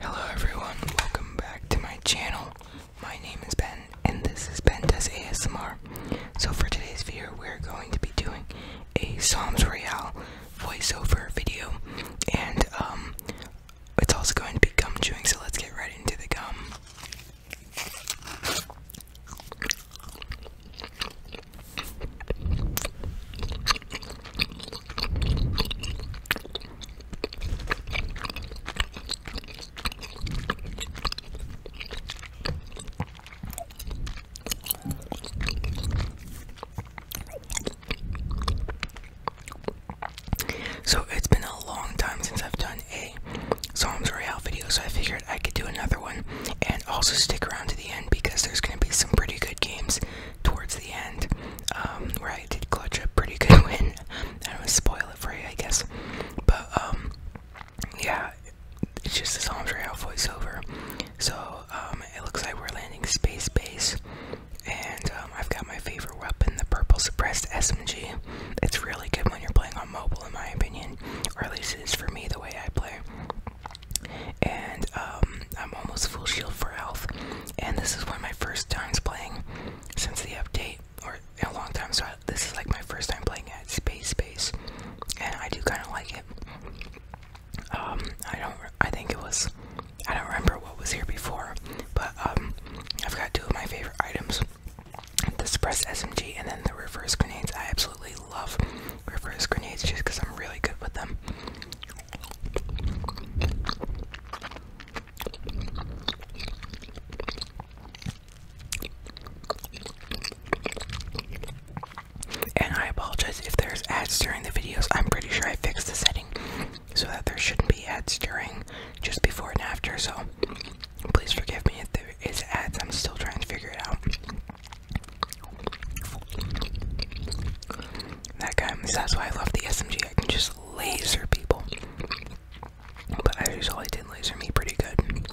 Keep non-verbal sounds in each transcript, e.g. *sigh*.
Hello everyone, welcome back to my channel. My name is Ben and this is Ben Does ASMR. So for today's video we're going to be doing a Psalms Royale voiceover video and um it's also going to be gum chewing so let's get right into the gum. So it's been a long time since I've done a Psalms Royale video, so I figured I could do another one and also stick around to the end because there's going to be some pretty good games towards the end, um, where I did clutch a pretty good *laughs* win. I don't to spoil it for you, I guess. But, um, yeah, it's just this Homs Royale voiceover. So, um, it looks like we're landing Space Base. And I've got my favorite weapon, the purple suppressed SMG. It's really good when you're playing on mobile, in my opinion, or at least it is for me the way I play. And I'm almost full shield for health, and this is one of my first times playing since the update, or a long time. So this is like my first time playing at Space Space, and I do kind of like it. Um, I don't. I think it was. I don't remember what was here before, but um, I've got two of my favorite items: the suppress SMG and then the reverse grenades. I absolutely love reverse grenades just because I'm really good with them. And I apologize if there's ads during the videos. I'm pretty sure I fixed the setting so that there shouldn't be ads during just before and after. So please forgive me if there is ads. I'm still trying to figure it out. That guy, that's why I love the SMG. I can just laser people. But I usually did laser me pretty good.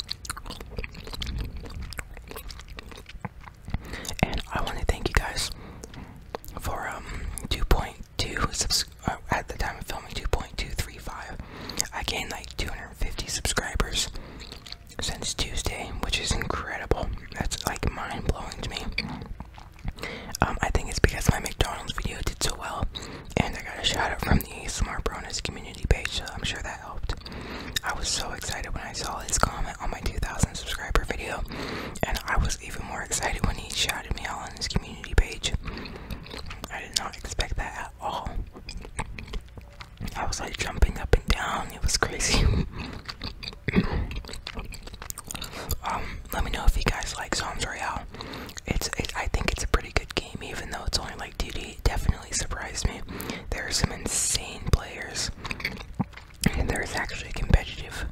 And I want to thank you guys for um 2.2 uh, at the time of filming 2.235. I gained like 250 subscribers since Tuesday, which is incredible. That's like mind blowing to me. Um, I think it's because my McDonald's video did so well, and I got a shout out from the Smart Bronus community page, so I'm sure that helped. I was so excited when I saw his comment on my 2,000 subscriber video, and I was even more excited when he shouted me out on his community page. I did not expect that at all. I was like jumping up and down, it was crazy. *laughs* *coughs* Um, let me know if you guys like Psalms Royale. It's I think it's a pretty good game, even though it's only like duty. definitely surprised me. There are some insane players, and there's actually competitive,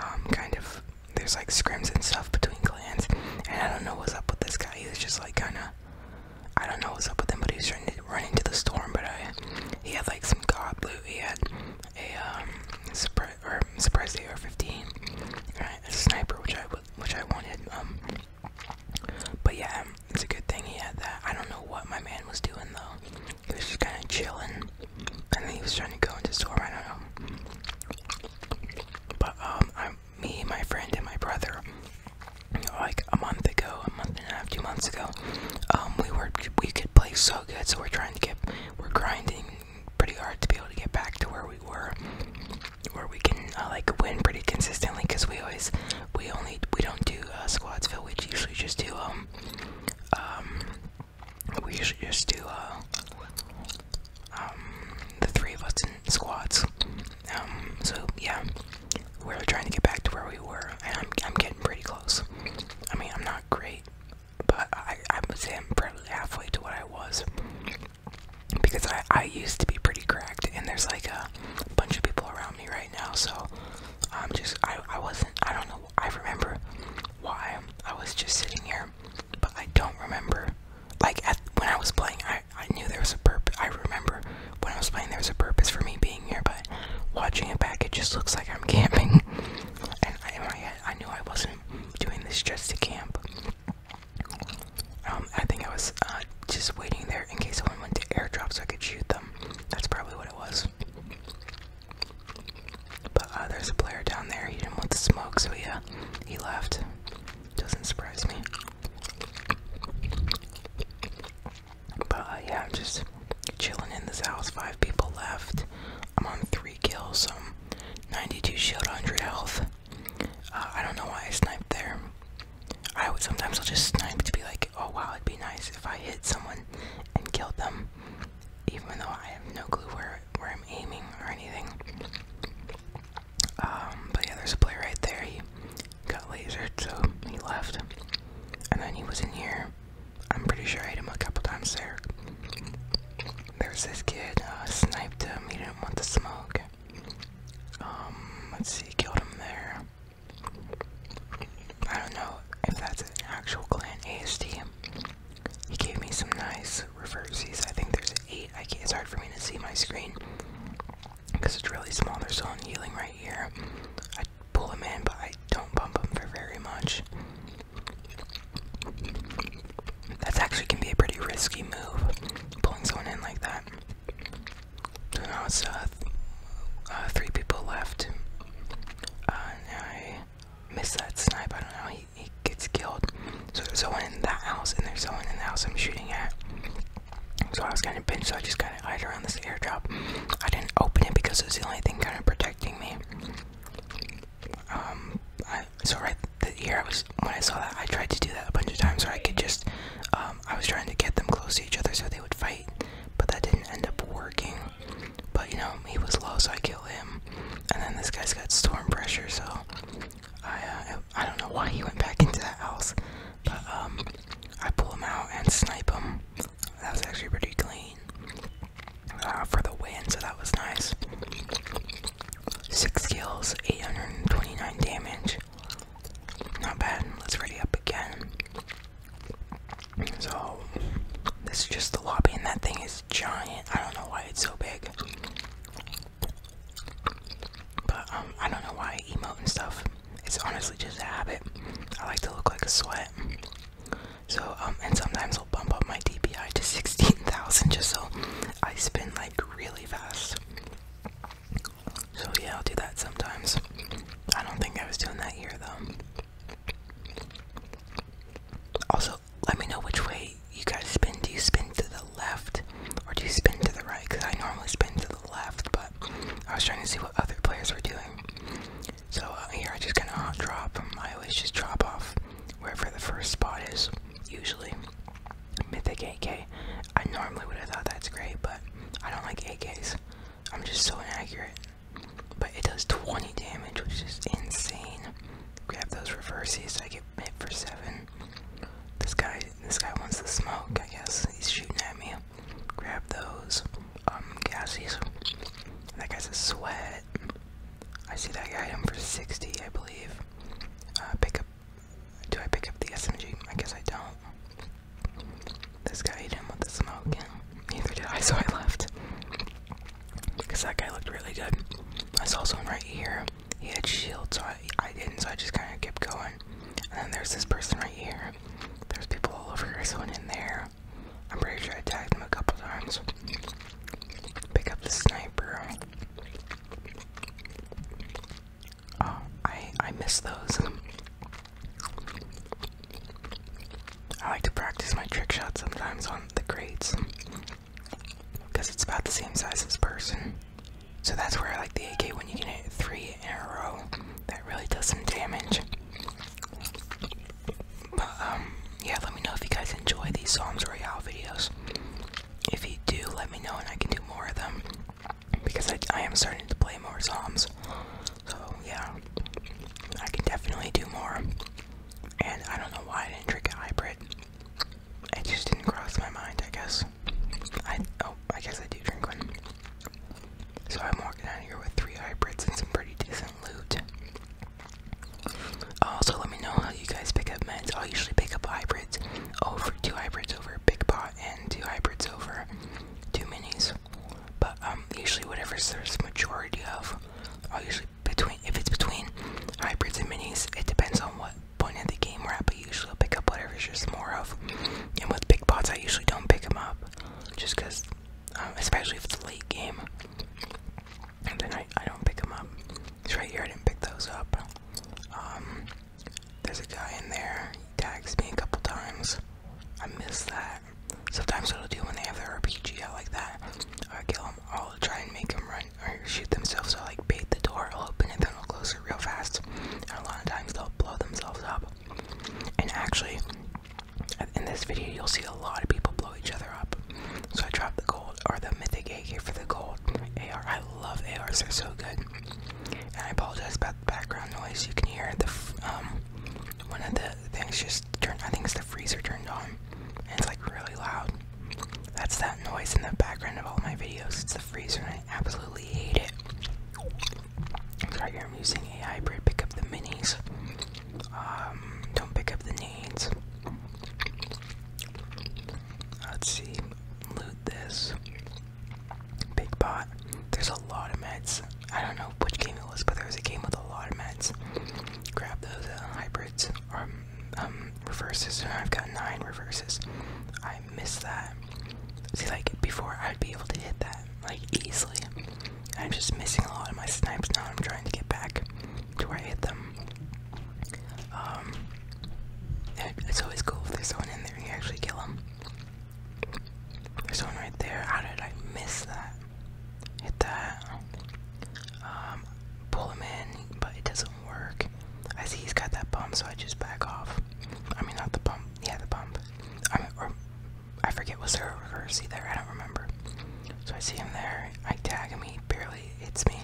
um, kind of. There's like scrims and stuff between clans, and I don't know what's up with this guy. He's just like kind of. I don't know what's up with him, but he's trying to run into the storm. But I, he had like some god blue. He had a um, suppressor or, or I'm surprised the AR-15 right, a sniper, which I which I wanted. Um, but yeah, um, it's a good thing he had that. I don't know what my man was doing though. He was just kind of chilling, and then he was trying to go into store. I don't know. But um, I, me, my friend, and my brother, like a month ago, a month and a half, two months ago, um, we were we could play so good. So we're trying to get, we're grinding, pretty hard to be able to get back to where we were, where we can uh, like win pretty consistently. Cause we always, we only, we don't do uh, squads fill. We usually just do um, um, we usually just do uh, um, the three of us in squads. Um, so yeah, we're trying to get back to where we were, and I'm, I'm getting pretty close. I mean, I'm not great but I, I would say probably halfway to what I was because I, I used to be pretty cracked, and there's like a bunch of people around me right now, so I'm just I, I wasn't I don't know I remember why I was just sitting here, but I don't remember like when I was playing I I knew there was a purpose I remember when I was playing there was a purpose for me being here, but watching it back it just looks like I'm camping. *laughs* and I, knew I wasn't doing this just to camp. Um, I think I was uh, just waiting there in case someone went to airdrop so I could shoot them. That's probably what it was. But uh, there's a player down there. He didn't want the smoke, so he uh, he left. Doesn't surprise me. But yeah, I'm just chilling in this house. Five people left. I'm on three. Kill some um, 92 shield, 100 health. Uh, I don't know why I sniped there. I would sometimes I'll just snipe to be like, oh wow, it'd be nice if I hit someone and killed them, even though I have no clue where where I'm aiming or anything. Um, but yeah, there's a player right there. He got lasered, so he left, and then he was in here. I'm pretty sure I hit him a couple times there. There's this kid, uh, sniped him, he didn't want the smoke. Um, let's see, killed him there. I don't know if that's an actual clan ASD. He gave me some nice reverses. I think there's eight. I can't, it's hard for me to see my screen because it's really small. There's still healing right here. I pull him in, but I don't bump him for very much. That's actually can be a pretty risky move, pulling someone in like that. So now it's uh, th uh, three people left. Uh, and I miss that snipe. I don't know. He, he gets killed. So there's someone in that house, and there's someone in the house I'm shooting at. So I was kind of pinched, so I just kind of eyed around this airdrop. I didn't open it because it was the only thing kind of protecting me. Um, so right the I was when I saw that, I tried to do that a bunch of times, where I could just, um, I was trying to get them close to each other so they would fight, but that didn't end up working. But you know, he was low, so I kill him, and then this guy's got storm pressure, so I, uh, I don't know why he went back into the house, but um, I pull him out and snipe him. That was actually pretty clean. Uh, for the win, so that was nice. Six kills, 829 damage. Not bad. Let's ready up again. So, this is just the lobby, and that thing is giant. I don't know why it's so big. But, um, I don't know why I emote and stuff. It's honestly just a habit. I like to look like a sweat. So um, and sometimes I'll bump up my DPI to sixteen thousand just so I spin like really fast. So yeah, I'll do that sometimes. I don't think I was doing that here though. Also, let me know which way you guys spin. Do you spin to the left or do you spin to the right? Because I normally spin to the left, but I was trying to see what other players were doing. So uh, here I just kind of drop I always just drop off wherever the first spot is, usually. Mythic AK. I normally would have thought that's great, but I don't like AKs. I'm just so inaccurate. But it does 20 damage, which is insane. Grab those reverses, I get hit for 7. This guy this guy wants the smoke, I guess. He's shooting at me. Grab those um gassies. That guy's a sweat. I see that item for 60, I believe. Uh, pick up. Do I pick up the SMG? I guess I don't. This guy hit him with the smoke, neither did I, *laughs* so I left. Because that guy looked really good. I saw someone right here. He had shield, so I, didn't, so I just kind of kept going. And then there's this person right here. There's people all over. here. *laughs* someone in there. I'm pretty sure I tagged him a couple times. Pick up the sniper. Oh, I I miss those. I like to practice my trick shot sometimes on the crates. Because it's about the same size as person. So that's where I like the AK when you can hit three in a row. That really does some damage. But um, yeah, let me know if you guys enjoy these Psalms Royale videos. If you do, let me know and I can do more of them because I, I am starting to play more Psalms. So yeah, I can definitely do more. And I don't know why I didn't drink a hybrid. It just didn't cross my mind, I guess. I oh, I guess I do drink one. So I'm walking out of here with three hybrids and some pretty decent loot. Also, uh, let me know how you guys pick up meds. I'll usually pick up hybrids over two hybrids over Big Pot and two hybrids over two minis. But um, usually whatever's there's majority of, i usually between if it's between hybrids and minis, it depends on what point of the game we're at. But usually I'll pick up whatever's just more of. And with Big Pots, I usually don't pick them up just because, um, especially if it's a late game and I, don't pick them up. It's right here, I didn't pick those up. Um, there's a guy in there, he tags me a couple times. I miss that. Sometimes what I'll do when they have their RPG out like that, I kill them, I'll try and make them run or shoot themselves. So I like bait the door, I'll open it, then I'll close it real fast. And a lot of times they'll blow themselves up. And actually, in this video you'll see a lot of people blow each other up. So I dropped the gold or the mythic AK for the gold AR. I love ARs; they're so good. And I apologize about the background noise. You can hear the um one of the things just turned. I think it's the freezer turned on, and it's like really loud. That's that noise in the background of all my videos. It's the freezer, and I absolutely hate it. right here I'm using a hybrid. Pick Up the Minis. Um, don't pick up the needs. Let's see. Loot this. Big pot. There's a lot of meds. I don't know which game it was, but there was a game with a lot of meds. Grab those uh, hybrids or um, um, reverses. And I've got nine reverses. I miss that. See, like before, I'd be able to hit that like easily. I'm just missing a lot of my snipes now. I'm trying to get back to where I hit them. Um, it's always cool if there's someone in there and you actually kill them. There's someone right there. How did I miss that? Hit that. Um, pull him in, but it doesn't work. I see he's got that bump, so I just back off. I mean, not the bump. Yeah, the bump. I forget was there a reverse there. I don't remember. So I see him there. I tag him. He barely hits me,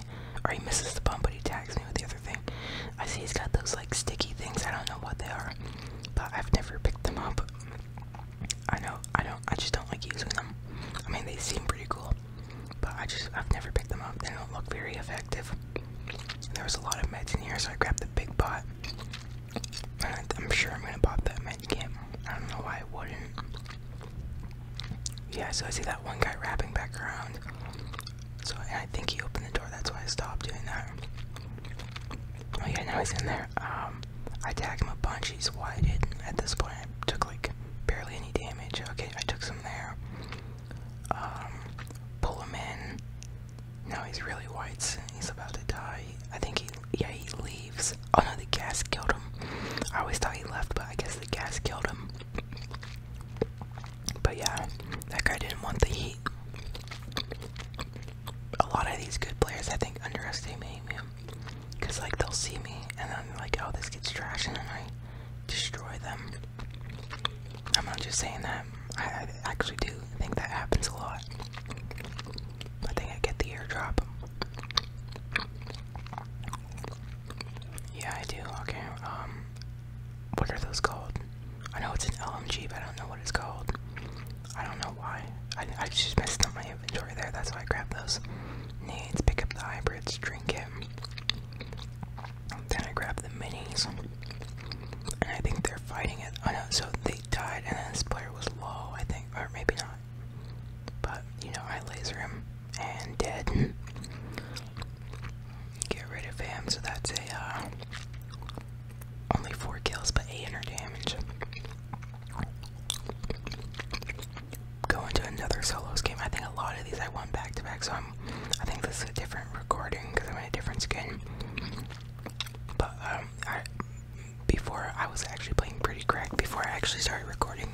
or he misses the bump, but he tags me with the other thing. I see he's got those like sticky things. I don't know what they are, but I've never picked them up. I know I don't. I just don't like using them. I mean, they seem pretty cool, but I just I've never picked them up. They don't look very effective. there was a lot of meds in here, so I grabbed the big pot. I, I'm sure I'm gonna pop that med. I don't know why I wouldn't. Yeah, so I see that one guy wrapping back around. So I think he opened the door, that's why I stopped doing that. Okay, oh, now he's in there. Um, I tagged him a bunch, he's wide at this point. I took like barely any damage. Okay, I took some there. Um, pull him in. Now he's really white, he's about to die. I think he yeah, he leaves. Oh no, the gas killed him. I always thought he left, but I guess the gas killed him. But yeah, that guy didn't want the heat. A lot of these good players, I think, underestimate me. Because, like, they'll see me, and then, like, oh, this gets trash, and I destroy them. I'm not just saying that. I actually do think that happens a lot. I think I get the airdrop. Yeah, I do. Okay, um, what are those called? I know it's an LMG, but I don't know what it's called. I don't know why. I, I just messed up my inventory there, that's why I grabbed those. Need to pick up the hybrids, drink it. Then I grab the minis. And I think they're fighting it. I oh, know, so they died, and then this player was low, I think. Or maybe not. But, you know, I laser him and dead. *laughs* Get rid of him, so that's a, uh, only four kills but eight hundred damage. Going to another solos game. I think a lot of these I won back to back, so I'm, I think this is a different recording because I'm in a different skin. But um, I, before I was actually playing pretty crack before I actually started recording.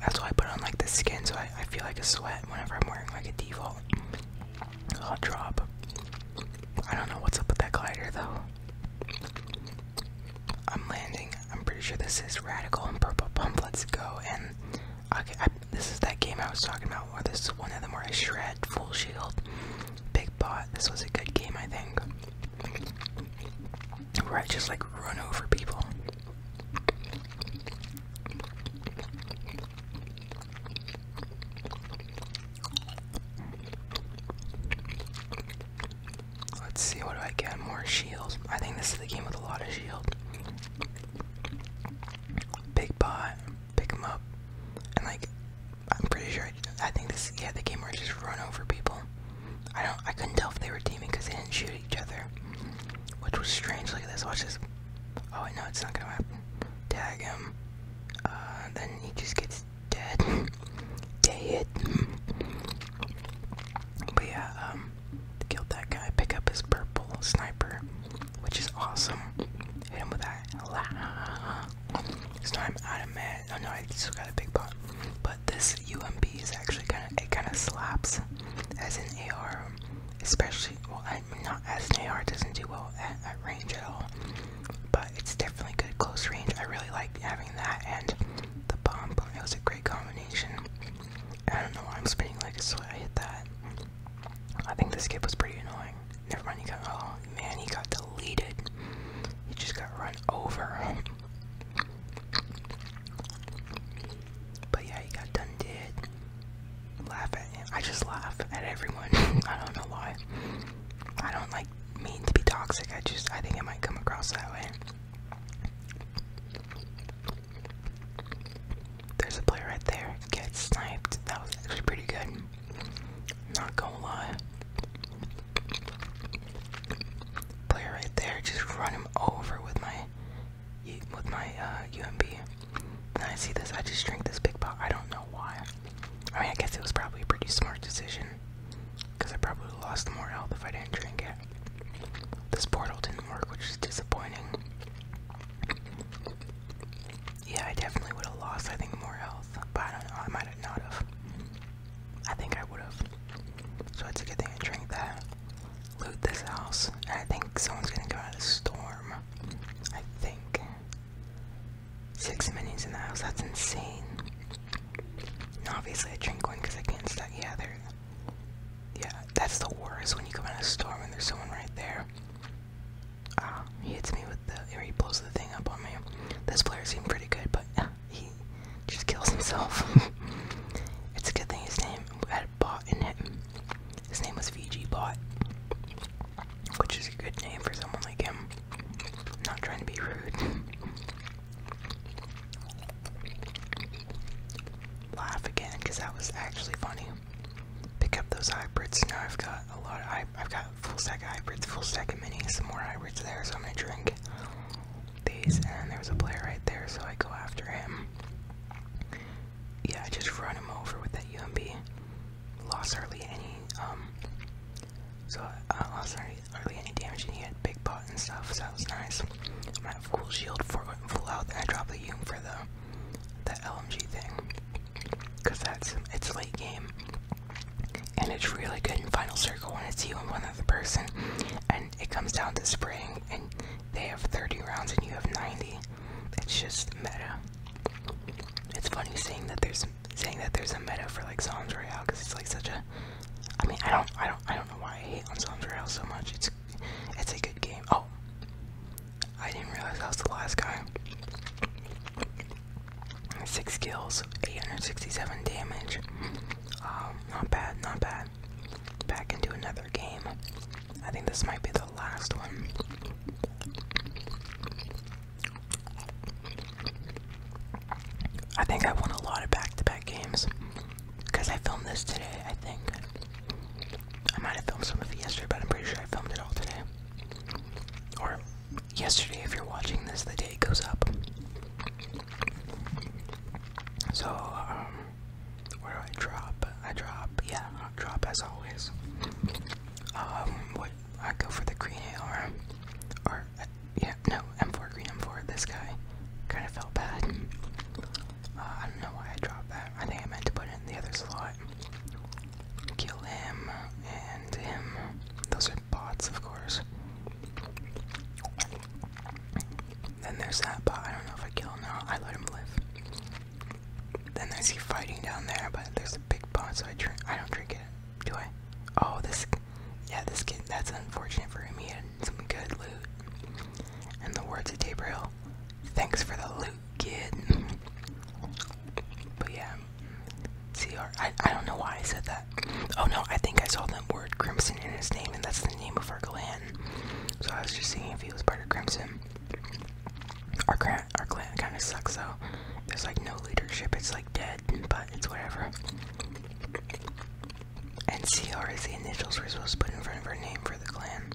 That's why I put on like the skin so I, feel like a sweat whenever I'm wearing like a default. I'll drop. I don't know what's up with that glider though. I'm landing. I'm pretty sure this is Radical and Purple Pump. Let's go. And this is that game I was talking about, Where this is one of them where I shred full shield. Big pot. This was a good game, I think where I just like run over people. Let's see what do I get? More shields. I think this is the game with a lot of shield. Big pot, pick him up, and like I'm pretty sure I think this, yeah, the game merge just run over people. I don't, I couldn't tell if they were teaming because they didn't shoot each other, which was strange. Look at this. Watch this. Oh wait, no, it's not gonna happen. Tag him. Uh, then he just gets dead. *laughs* dead. But yeah, um, killed that guy. Pick up his purple sniper, which is awesome. Hit him with that. *laughs* It's time out of man. I know I still got a big pot, but this UMP is actually kind of it kind of slaps as an AR, especially well, I mean, not as an AR doesn't do well at, at range at all, but it's definitely good close range. I really like having that and the bomb. It was a great combination. I don't know why I'm spinning like this. sweat. I hit that. I think this kid was pretty annoying. Never mind, he got oh man, he got deleted. He just got run over. But yeah, he got done did. Laugh I just laugh at everyone. *laughs* I don't know why. I don't like mean to be toxic. I just I think it might come across that way. There's a player right there. Get sniped. That was actually pretty good. Not gonna lie player right there just run him over with my with my uh, UMB. Then I see this, I just drink this big pot. I don't know why. I mean, I guess it was probably a pretty smart decision because I probably lost more health if I didn't drink it. This portal didn't work, which is disappointing. Yeah, I definitely would have lost, I think, more health, but I don't know, I might have not have. I think I would have. So it's a good thing I drank that. Loot this house. And I think someone's gonna come out of storm. I think. Six minions in the house, that's insane. obviously I drink one because I can't stack yeah there. Yeah, that's the worst when you come out of storm and there's someone right there. Ah, he hits me with the or he blows the thing up on me. This player seemed pretty good, but he just kills himself. *laughs* it's a good thing his name had bot in it. His name was VG Bot, which is a good name for someone like him. not trying to be rude. Laugh again, because that was actually funny. Pick up those hybrids. Now I've got a lot I've got full stack hybrids, full stack of minis, some more hybrids there, so I'm gonna drink these. And there was a player right there, so I go after him. Yeah, I just run him over with that UMB. Lost hardly any, um, so I uh, lost hardly, any damage, and he had big pot and stuff, so that was nice. I'm gonna have cool shield for full health, and I drop the UMB for the, the LMG thing. Because that's, it's late game and it's really good in Final Circle when it's you and one other person, and it comes down to spraying, and they have 30 rounds and you have 90. It's just meta. It's funny saying that there's saying that there's a meta for like Psalms Royale because it's like such a. I mean, I don't, I don't, I don't know why I hate on Royale so much. It's, it's a good game. Oh, I didn't realize I was the last guy. Six kills, 867 damage. Um, not bad, not bad. Back into another game. I think this might be the last one. I think I won a lot of back to back games. Because I filmed this today, I think. I might have filmed some of yesterday, but I'm pretty sure I filmed it all today. Or yesterday, if you're watching this, the day goes up. So, um, where do I drop? I drop, yeah, drop as always. Um, what I go for the green AR, or uh, yeah, no, M4 green M4. This guy kind of felt bad. Uh, I don't know why I dropped that. I think I meant to put it in the other slot. Kill him and him. Those are bots, of course. Then there's that bot. I don't know if I kill him now. I let him live. Then I see fighting down there, but there's a big bot, so I drink. I don't drink it. Do I? Oh, this. Yeah, this kid. That's unfortunate for him. He had some good loot. And the words of Gabriel. Thanks for the loot, kid. *laughs* But yeah, CR. I, I don't know why I said that. Oh no, I think I saw the word Crimson in his name, and that's the name of our clan. So I was just seeing if he was part of Crimson. Our clan, our clan kind of sucks though. There's like no leadership. It's like dead, but it's whatever. And CR is the initials we're supposed to put in front of our name for the clan.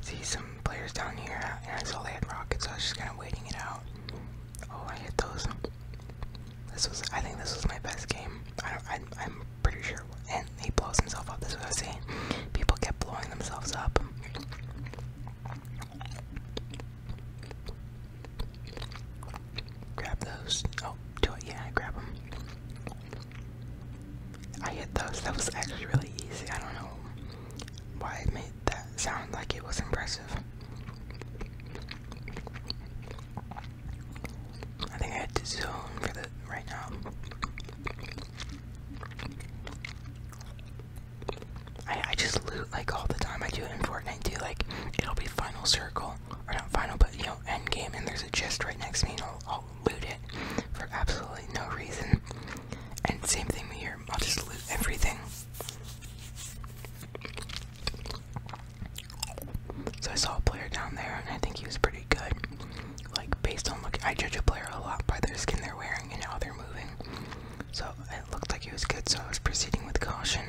See some players down here, and I saw they had rockets. So I was just kind of waiting it out. Oh, I hit those. This was, I think, this was my best game. I am pretty sure. And he blows himself up. That's what I was saying. People kept blowing themselves up. Grab those. Oh, do it. Yeah, grab them. I hit those. That was actually really easy. I don't know why it made that sound like it was impressive. I think I had to zone for the right now. I I just loot like all the time. I do it in Fortnite too. Like it'll be final circle or not final, but you know end game, and there's a chest right next to me, and I'll, loot it for absolutely no reason. And same thing here. I'll just loot everything. So I saw a player down there, and I think he was pretty good. Like based on look, I judge a player a lot by their skin they're wearing and how they're moving. So it looked like he was good, so I was proceeding with caution.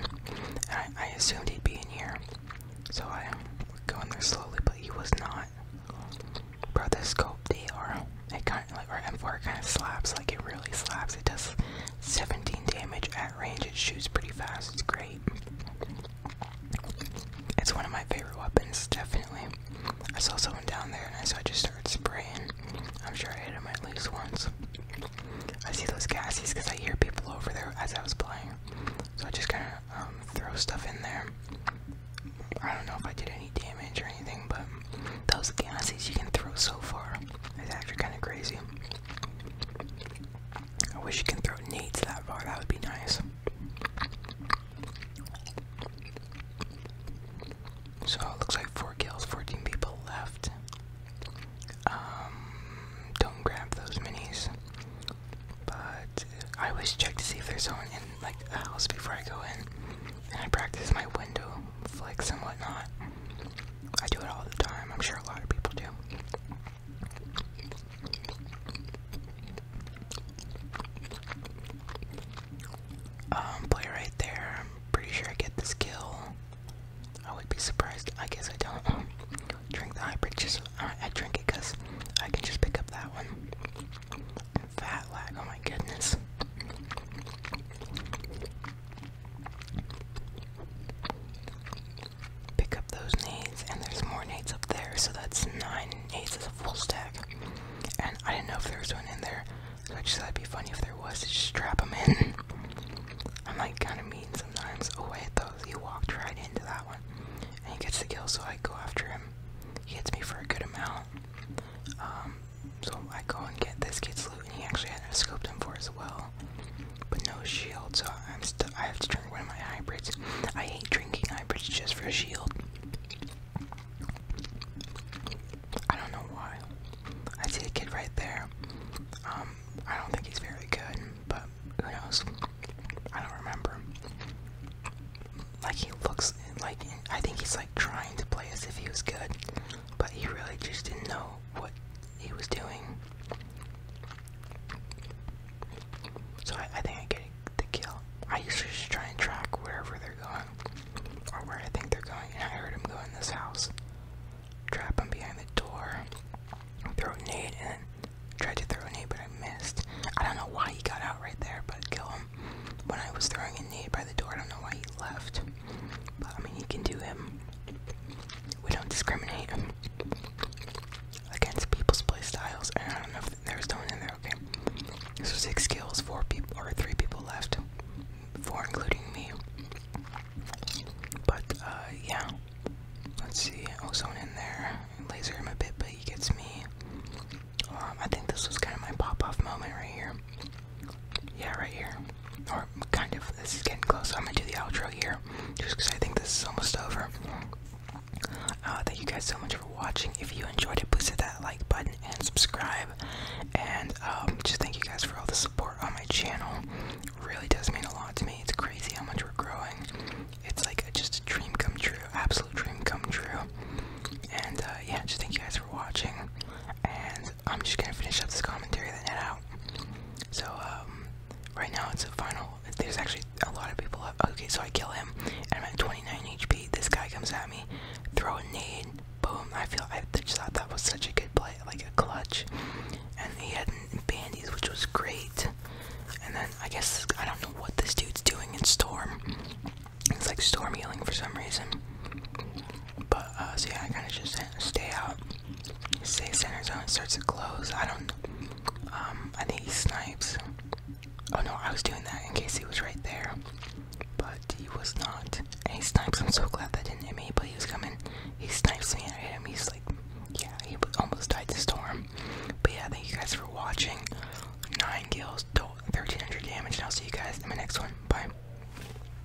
I, assumed he'd be in here, so I would go in there slowly, but he was not. Bro, this scope DR, it kind of like or M4 kind of slaps, like it really slaps. It does 17 damage at range. It shoots pretty fast. It's great. It's one of my favorite weapons, definitely. I saw someone down there and I saw I just started spraying. I'm sure I hit him at least once. I see those gassies because I hear people over there as I was playing. So I just kind of um, throw stuff in there. I don't know if I did any damage or anything, but those gassies you can throw so far is actually kind of crazy. I wish you can throw nades that far, that would be nice. So it looks like four kills, 14 people left. Um, don't grab those minis. But I always check to see if there's someone in like a house before I go in. And I practice my window flicks and whatnot. I do it all the time. I'm sure a lot of people do. Um, play right there. I'm pretty sure I get the skill. I would be surprised. I guess I don't *laughs* drink the high bridges. uh, I drink it because I can just pick up that one. fat lag. Oh my goodness. Pick up those nades, and there's more nades up there, so that's nine nades as a full stack. And I didn't know if there was one in there, so I just thought it'd be funny if there was just strap them in. *laughs* I'm like kind of mean sometimes. Oh, I those. He walked right into that one, and he gets the kill, so I go after him. He hits me for a good amount. Um, so I go and get this kid's loot, and he actually had a scoped him for as well. But no shield, so I'm st I have to drink one of my hybrids. I hate drinking hybrids just for a shield. I don't know why. I see a kid right there. Um, I don't think he's very good, but who knows? I don't remember. Like he looks like I think he's like trying to play as if he was good, but he really just didn't know what he was doing. So I, I think I get the kill. I usually just try and track wherever they're going, or where I think they're going, and I heard him go in this house. Trap him behind the door, throw a nade, and tried to throw a nade, but I missed. I don't know why he got out right there, but kill him. When I was throwing a nade by the door, I don't know why he left. But I mean, you can do him we don't discriminate against people's play styles. And I don't know if there's no in there. Okay. So six kills, four people or three people left, four including me. But uh, yeah. Let's see. Oh, someone in there. Laser him a bit, but he gets me. Um, I think this was kind of my pop-off moment right here. Yeah, right here. Or kind of. This is getting close. I'm gonna do the outro here, just because I think this is almost over. Uh, thank you guys so much for watching. If you enjoyed it, please hit that like button and subscribe. And um, just thank you guys for all the support on my channel. really does mean a lot to me. It's crazy how much we're growing. It's like a, just a dream come true, absolute dream come true. And uh, yeah, just thank you guys for watching. And I'm just gonna finish up this commentary and then head out. So, um, right now it's a final. There's actually a lot of people Okay, so I kill him, and I'm at 29 HP. This guy comes at me, throw a nade, boom. I feel I just thought that was such a good play, like a clutch. And he had bandies, which was great. And then I guess I don't know what this dude's doing in Storm. It's like Storm healing for some reason. But uh, so yeah, I kind of just stay out. Stay center zone starts to close. I don't. Um, I think he snipes. Oh no, I was doing that in case he was right there, but he was not. he snipes. I'm so glad that didn't hit me. But he was coming. He snipes me and I hit him. He's like, yeah, he almost died to storm. But yeah, thank you guys for watching. Nine kills, 1300 damage, and I'll see you guys in my next one. Bye.